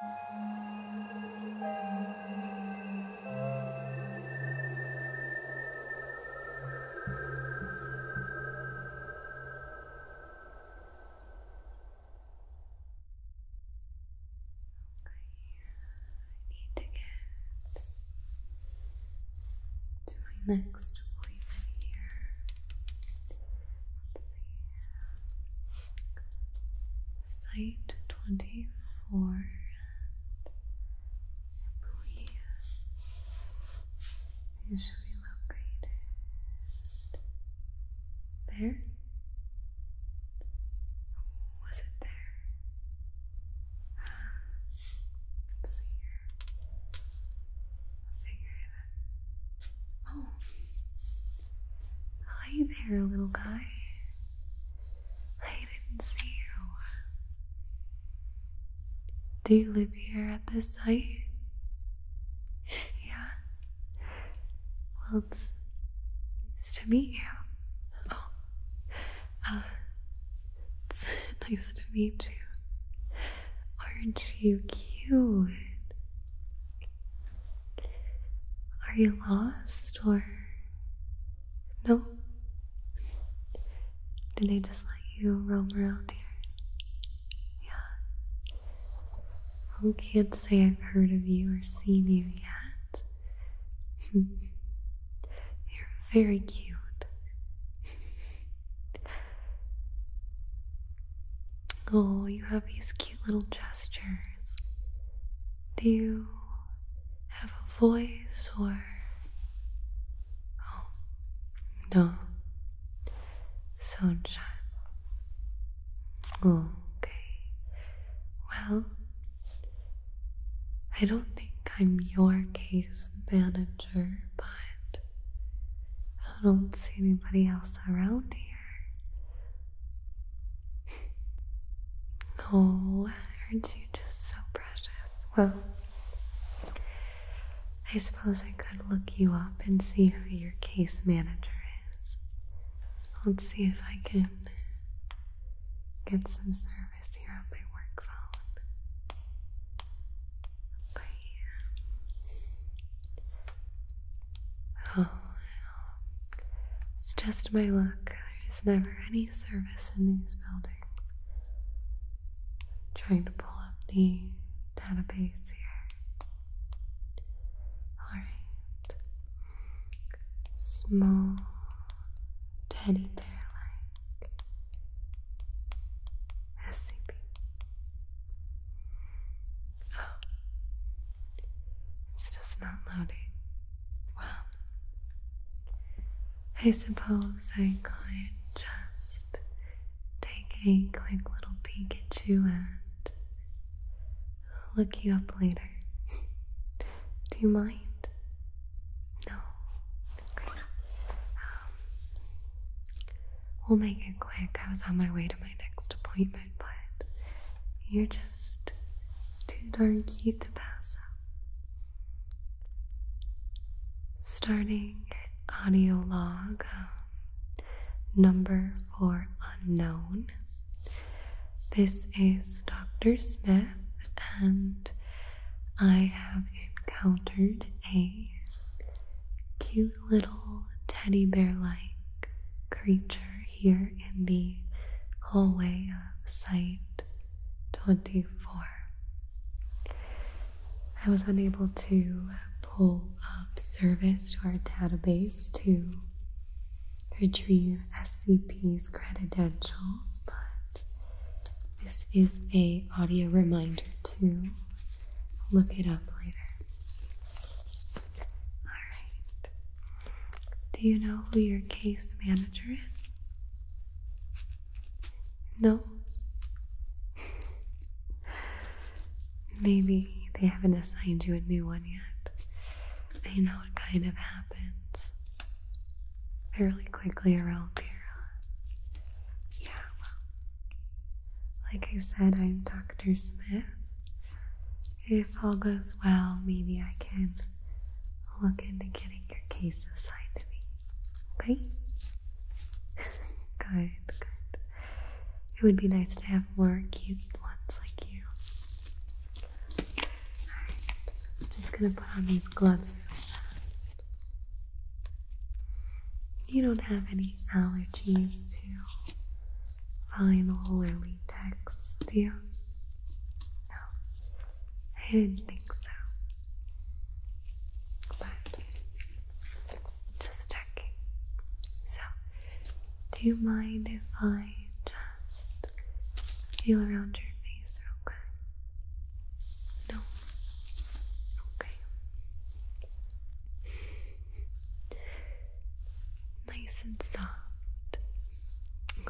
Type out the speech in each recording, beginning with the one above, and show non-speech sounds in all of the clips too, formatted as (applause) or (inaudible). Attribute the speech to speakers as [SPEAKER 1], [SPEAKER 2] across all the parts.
[SPEAKER 1] I need to get to my next appointment here. Let's see. Site 24, I believe it should there. Was it there? let's see here. figure it Oh. Hi there, little guy. I didn't see you. Do you live here at this site? yeah. Well, it's nice to meet you. Oh. Uh, it's (laughs) nice to meet you. Aren't you cute? Are you lost or no? Did they just let you roam around here? Yeah. Well, can't say I've heard of you or seen you yet. (laughs) You're very cute. (laughs) Oh, you have these cute little gestures. Do you have a voice or. Oh, no. Sunshine. okay. Well, I don't think I'm your case manager, but I don't see anybody else around here. (laughs) oh, aren't you just so precious? Well, I suppose I could look you up and see who your case manager is. Let's see if I can get some service here on my work phone. Okay. Oh, It's just my luck. There's never any service in these buildings. trying to pull up the database here. Alright. Small teddy bear like SCP. Oh. It's just not loading. Well, I suppose I could just take a quick little peek at you and look you up later. (laughs) Do you mind? No. Okay. Um, we'll make it quick. I was on my way to my next appointment but you're just too darn cute to pass up. Starting audio log um, number four unknown. This is Dr. Smith, and I have encountered a cute little teddy bear like creature here in the hallway of sight, 24. I was unable to pull up service to our database to retrieve SCP's credentials, but this is a audio reminder to look it up later. Alright. Do you know who your case manager is? No? Maybe they haven't assigned you a new one yet. I know it kind of happens fairly quickly around here. Yeah, well, like I said, I'm Dr. Smith. If all goes well, maybe I can look into getting your case assigned to me. Okay? (laughs) good, good. It would be nice to have more cute ones like you. Alright, I'm just gonna put on these gloves real fast. You don't have any allergies to vinyl or latex, do you? No, I didn't think so. But just checking. So, do you mind if I just feel around your face real quick? No. Okay nice and soft.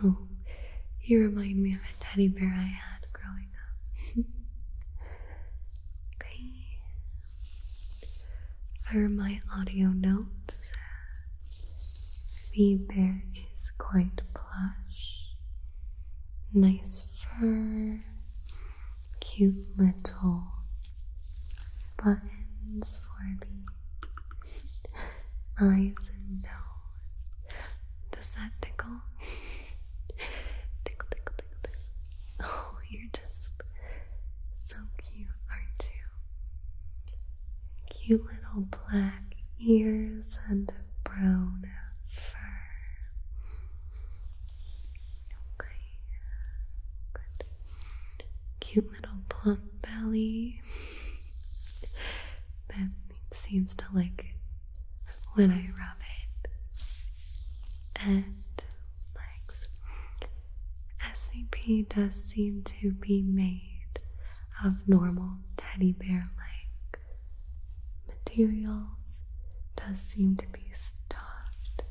[SPEAKER 1] Oh, you remind me of a teddy bear I had growing up. (laughs) okay. For my audio notes, the bear is quite plush, nice fur, cute little buttons for the eyes and nose. Does that tickle? tickle, (laughs) tickle, tickle, tickle. Oh, you're just so cute, aren't you? Cute little black ears and brown fur. Okay, good. Cute little plump belly that seems to like when I rub it. And legs. SCP does seem to be made of normal teddy bear like materials, does seem to be stuffed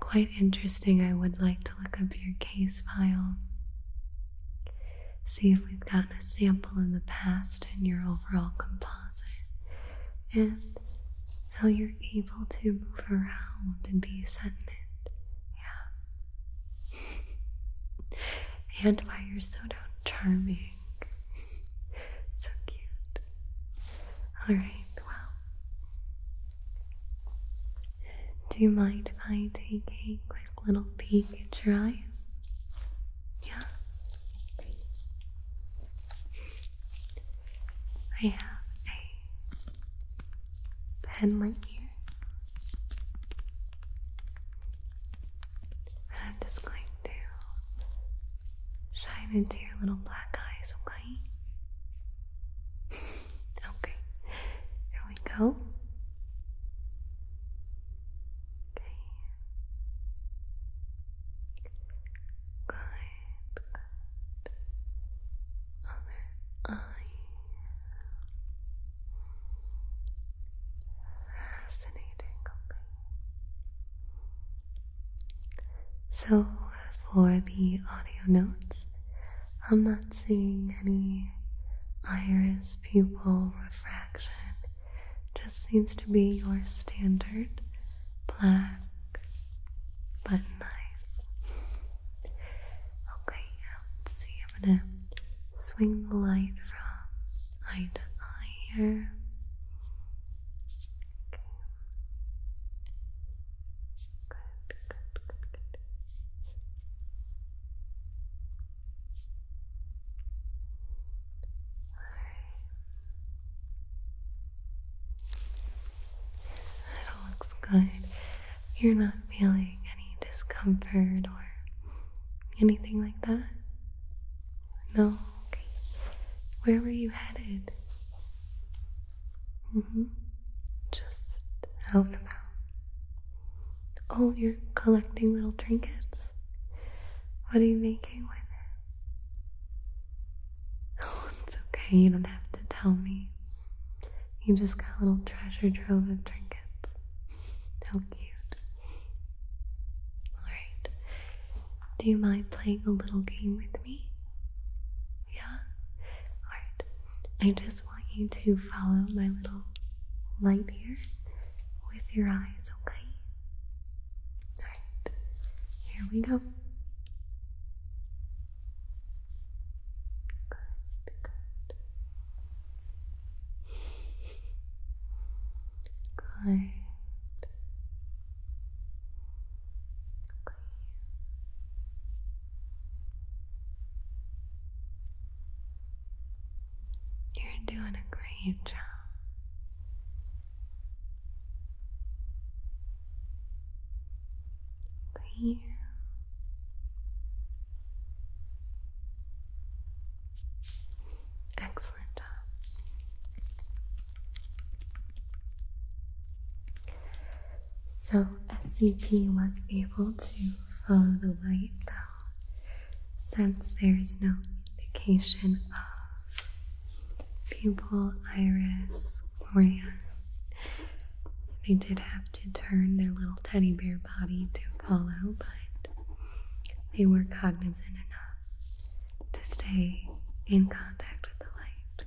[SPEAKER 1] quite interesting. I would like to look up your case file, see if we've gotten a sample in the past in your overall composite, and how you're able to move around and be sentient. Yeah. (laughs) and why you're so darn charming. (laughs) so cute. Alright, well, do you mind if I take a quick little peek at your eyes? Yeah? I have a pen light here. And I'm just going to shine into your little black eyes, okay? (laughs) Okay, here we go. Okay. Good, Other eye. Fascinating. Okay. So for the audio notes. I'm not seeing any iris pupil refraction. Just seems to be your standard black but nice. Okay, let's see. I'm gonna swing the light from eye to eye here. Okay. Good, good, good, good. Alright. That all looks good. You're not feeling any discomfort or anything like that? No? Okay. Where were you headed? -hmm. Just out and about. Oh, you're collecting little trinkets. What are you making with it? (laughs) Oh, it's okay. You don't have to tell me. You just got a little treasure trove of trinkets. How cute. Alright. Do you mind playing a little game with me? Yeah? Alright. I just want you to follow my little light here with your eyes, okay? Alright. Here we go. Good, good. Good. You're doing a great job. Clear. Excellent job. So SCP was able to follow the light though, since there is no indication of pupil, iris, cornea. They did have to turn their little teddy bear body to follow, but they were cognizant enough to stay in contact with the light.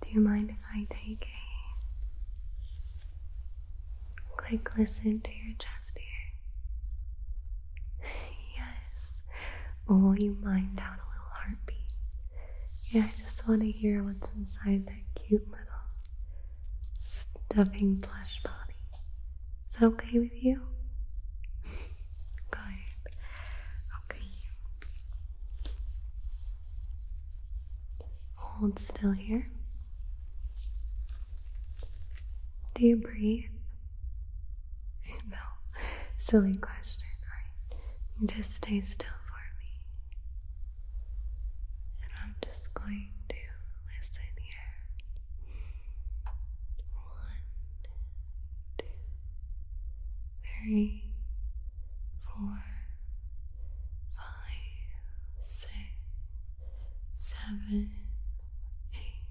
[SPEAKER 1] Do you mind if I take a quick listen to your chest here? (laughs) yes. Oh, you mind out a little heartbeat. Yeah, I just want to hear what's inside that cute little stuffing plush body. Is that okay with you? (laughs) Good. Okay. Hold still here. Do you breathe? (laughs) no. Silly question. Right, just stay still for me. And I'm just going to listen here. One, two, three, four, five, six, seven, eight,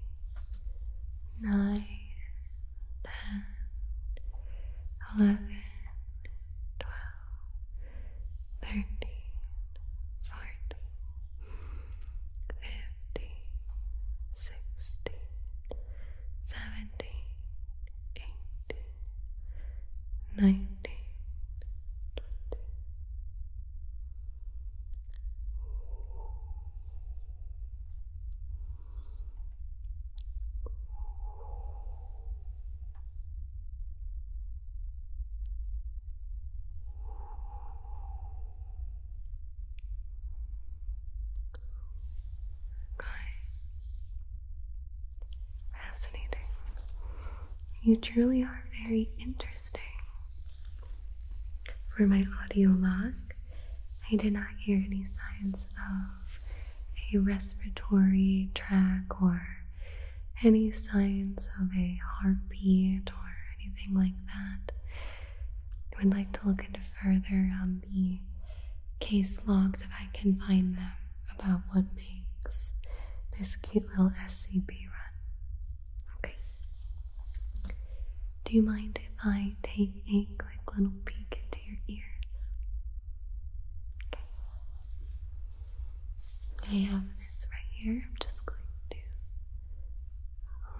[SPEAKER 1] nine, ten, eleven, twelve, thirteen, fourteen, fifteen, sixteen, seventeen, eighteen nineteen, twenty. Okay. Fascinating. You truly are very interesting. For my audio log, I did not hear any signs of a respiratory track or any signs of a heartbeat or anything like that. I would like to look into further on the case logs if I can find them about what makes this cute little SCP run. Okay. Do you mind if I take a quick little peek into your ears? Okay. I have this right here. I'm just going to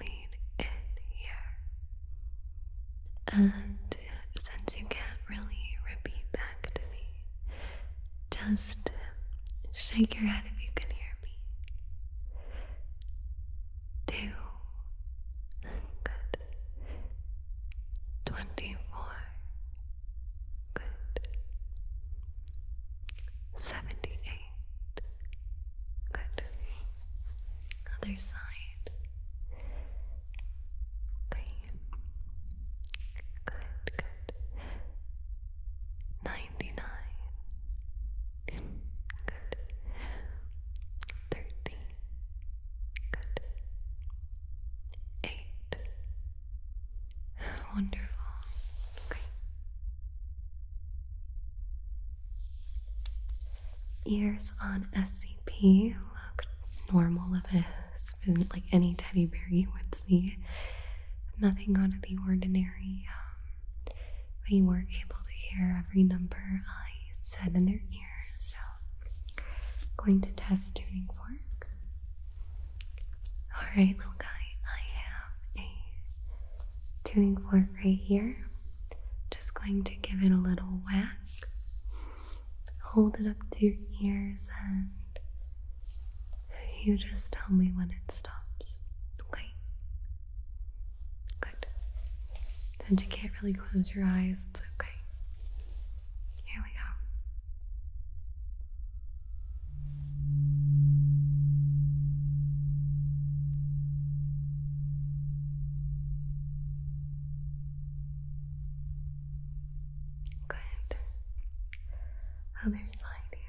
[SPEAKER 1] lean in here. And since you can't really repeat back to me, just shake your head if you can hear me. Two. Good. Twenty-four. Good. Seventy-eight. Good. Other side. Okay. Good, good. Ninety-nine. Good. Thirty. Good. Eight. Wonderful. Okay. Ears on SCP look normal of it like any teddy bear you would see. Nothing out of the ordinary. Um, they were able to hear every number I said in their ear. So, going to test tuning fork. Alright, little guy, I have a tuning fork right here. Just going to give it a little whack hold it up to your ears and you just tell me when it stops. Okay? Good. Since you can't really close your eyes, it's okay. Here we go. Good. Other side here.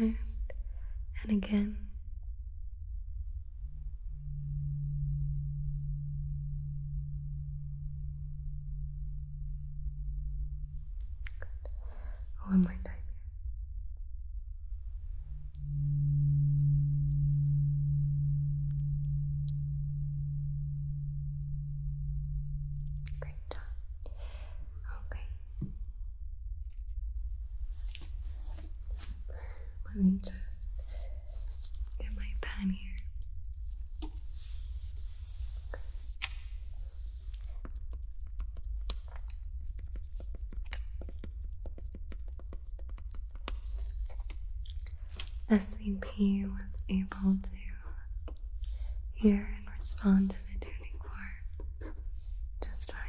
[SPEAKER 1] Good. And again. Good. One more time here. Great job. Okay. Let me just get my pen here. SCP was able to hear and respond to the tuning fork just fine.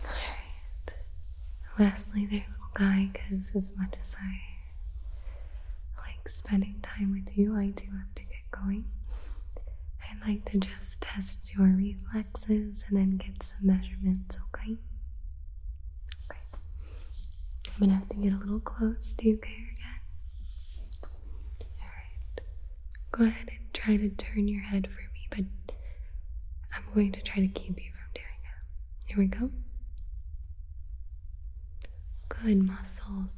[SPEAKER 1] Alright. Lastly, there, little guy, because as much as I like spending time with you, I do have to get going. I'd like to just test your reflexes and then get some measurements, okay? Okay. I'm gonna have to get a little close. Do you care again? Alright go ahead and try to turn your head for me, but I'm going to try to keep you from doing it. Here we go. Good muscles.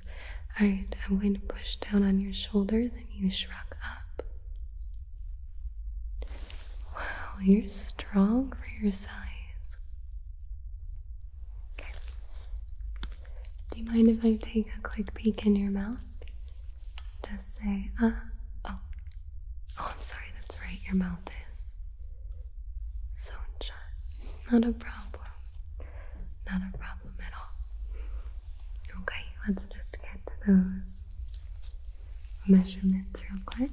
[SPEAKER 1] Alright, I'm going to push down on your shoulders and you shrug up. Wow, you're strong for your size. Okay. Do you mind if I take a quick peek in your mouth? Say uh oh. Oh, I'm sorry, that's right. Your mouth is sewn shut. Not a problem. Not a problem at all. Okay, let's just get to those measurements real quick.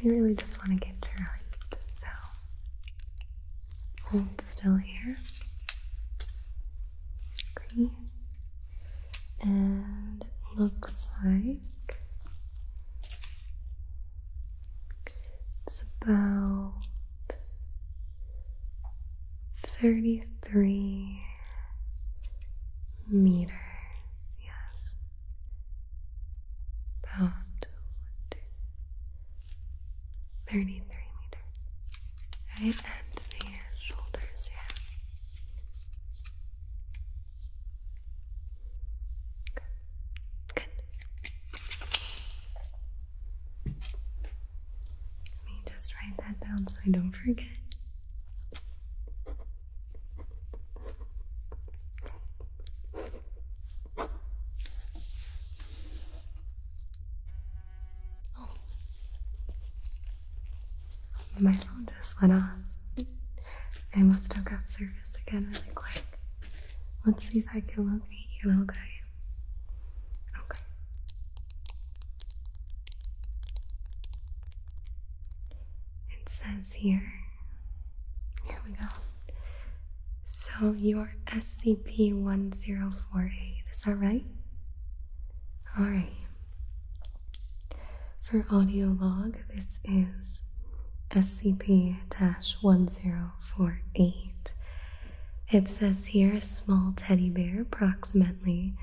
[SPEAKER 1] You really just want to get your height, so Hold still here. Okay. And it looks like it's about thirty three meters, yes. About 33 meters. Right and the shoulders yeah. Good. Good. Let me just write that down so I don't forget. Oh. My phone just went off. I must have got service again really quick. Let's see if I can locate you, little guy. Okay. It says here. Here we go. So your SCP 1048, is that right? Alright. For audio log, this is SCP 1048. It says here a small teddy bear, approximately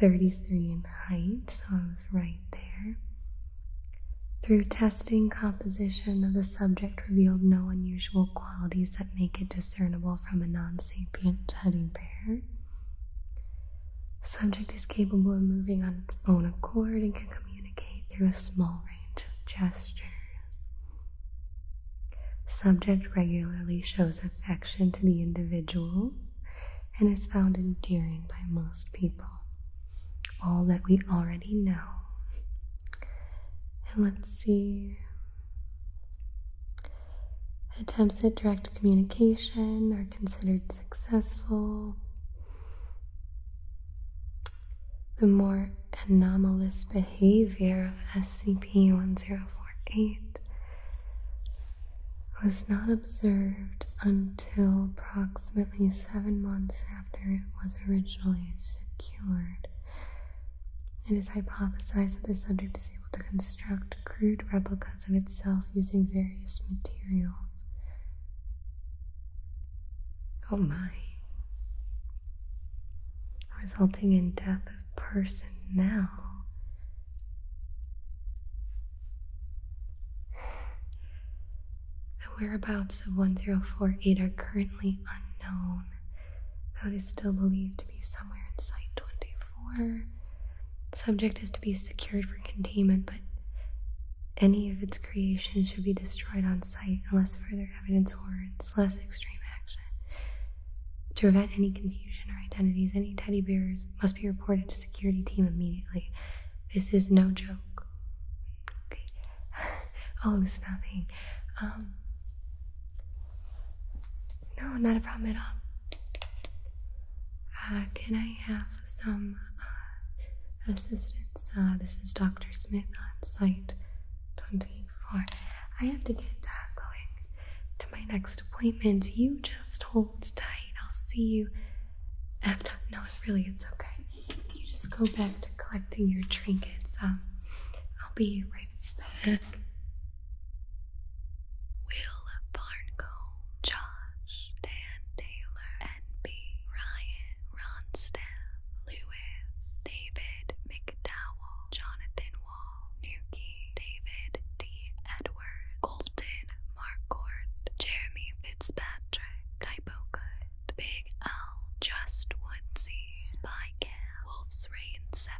[SPEAKER 1] 33 in height, so I was right there. Through testing, composition of the subject revealed no unusual qualities that make it discernible from a non sapient teddy bear. Subject is capable of moving on its own accord and can communicate through a small range of gestures. Subject regularly shows affection to the individuals and is found endearing by most people. All that we already know. And let's see, Attempts at direct communication are considered successful. The more anomalous behavior of SCP 1048 was not observed until approximately seven months after it was originally secured. It is hypothesized that the subject is able to construct crude replicas of itself using various materials. Oh my. Resulting in death of personnel. The whereabouts of 1048 are currently unknown. That is still believed to be somewhere in Site 24. Subject is to be secured for containment, but any of its creations should be destroyed on site unless further evidence warrants less extreme action. To prevent any confusion or identities, any teddy bears must be reported to security team immediately. This is no joke. Okay. (laughs) oh, it's nothing. Um, no, not a problem at all. Uh, can I have some uh, assistance? Uh, this is Dr. Smith on site 24. I have to get going to my next appointment. You just hold tight. I'll see you after. No, really, it's okay. You just go back to collecting your trinkets. Um, I'll be right right back. Will Barncombe, Josh, Dan Taylor, N.B., Ryan, Ronstaff, Lewis, David McDowell, Jonathan Wall, Nuki, David D. Edward, Colton Marcourt, Jeremy Fitzpatrick, Typo Good, Big Owl, Just Woodsy, Spy Cam, Wolf's Rain 70,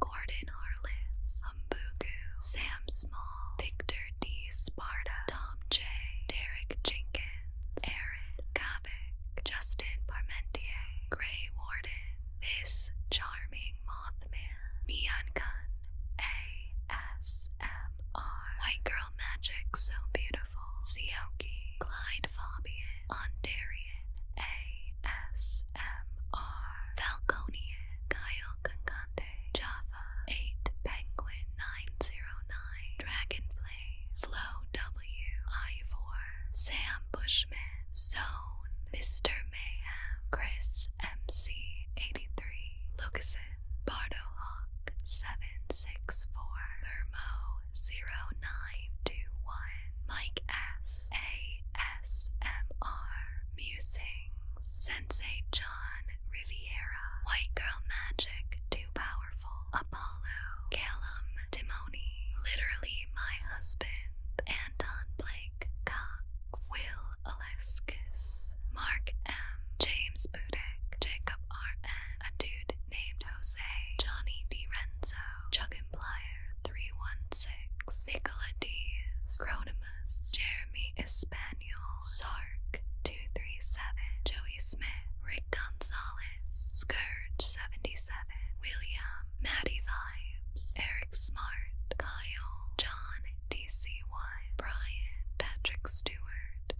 [SPEAKER 1] Gordon Harless, Umbugu, Sam Small, Victor D. Sparta, Tom J., Derek Jenkins, Aaron Kavik, Justin Parmentier, Gray Warden, This Charming Mothman, Neon Gun, ASMR, White Girl Magic So Beautiful, Sioki, Clyde Fabian, Ontario. ASMR, Falconian, Kyle Kankante, Java, 8 Penguin 909, Dragonfly, Flow W, Ivor, Sam Bushman, Zone, Mr. Mayhem, Chris MC83, Lucasen, Bardo Hawk, 764, Mermo, 0921 Mike S. A. S. M. R. Musings Sensei John Riviera White Girl Magic Too Powerful Apollo Callum Timoni Literally My Husband Anton Blake Cox Will Aleskis Mark M. James Budek Jacob R. N. A dude named Jose Johnny Renzo. Chuggenplier316, Nicola Dees, Cronimus, Jeremy Espaniel, Sark237, Joey Smith, Rick Gonzalez, Scourge77, William, Maddie Vibes, Eric Smart, Kyle, John DC1, Brian, Patrick Stewart.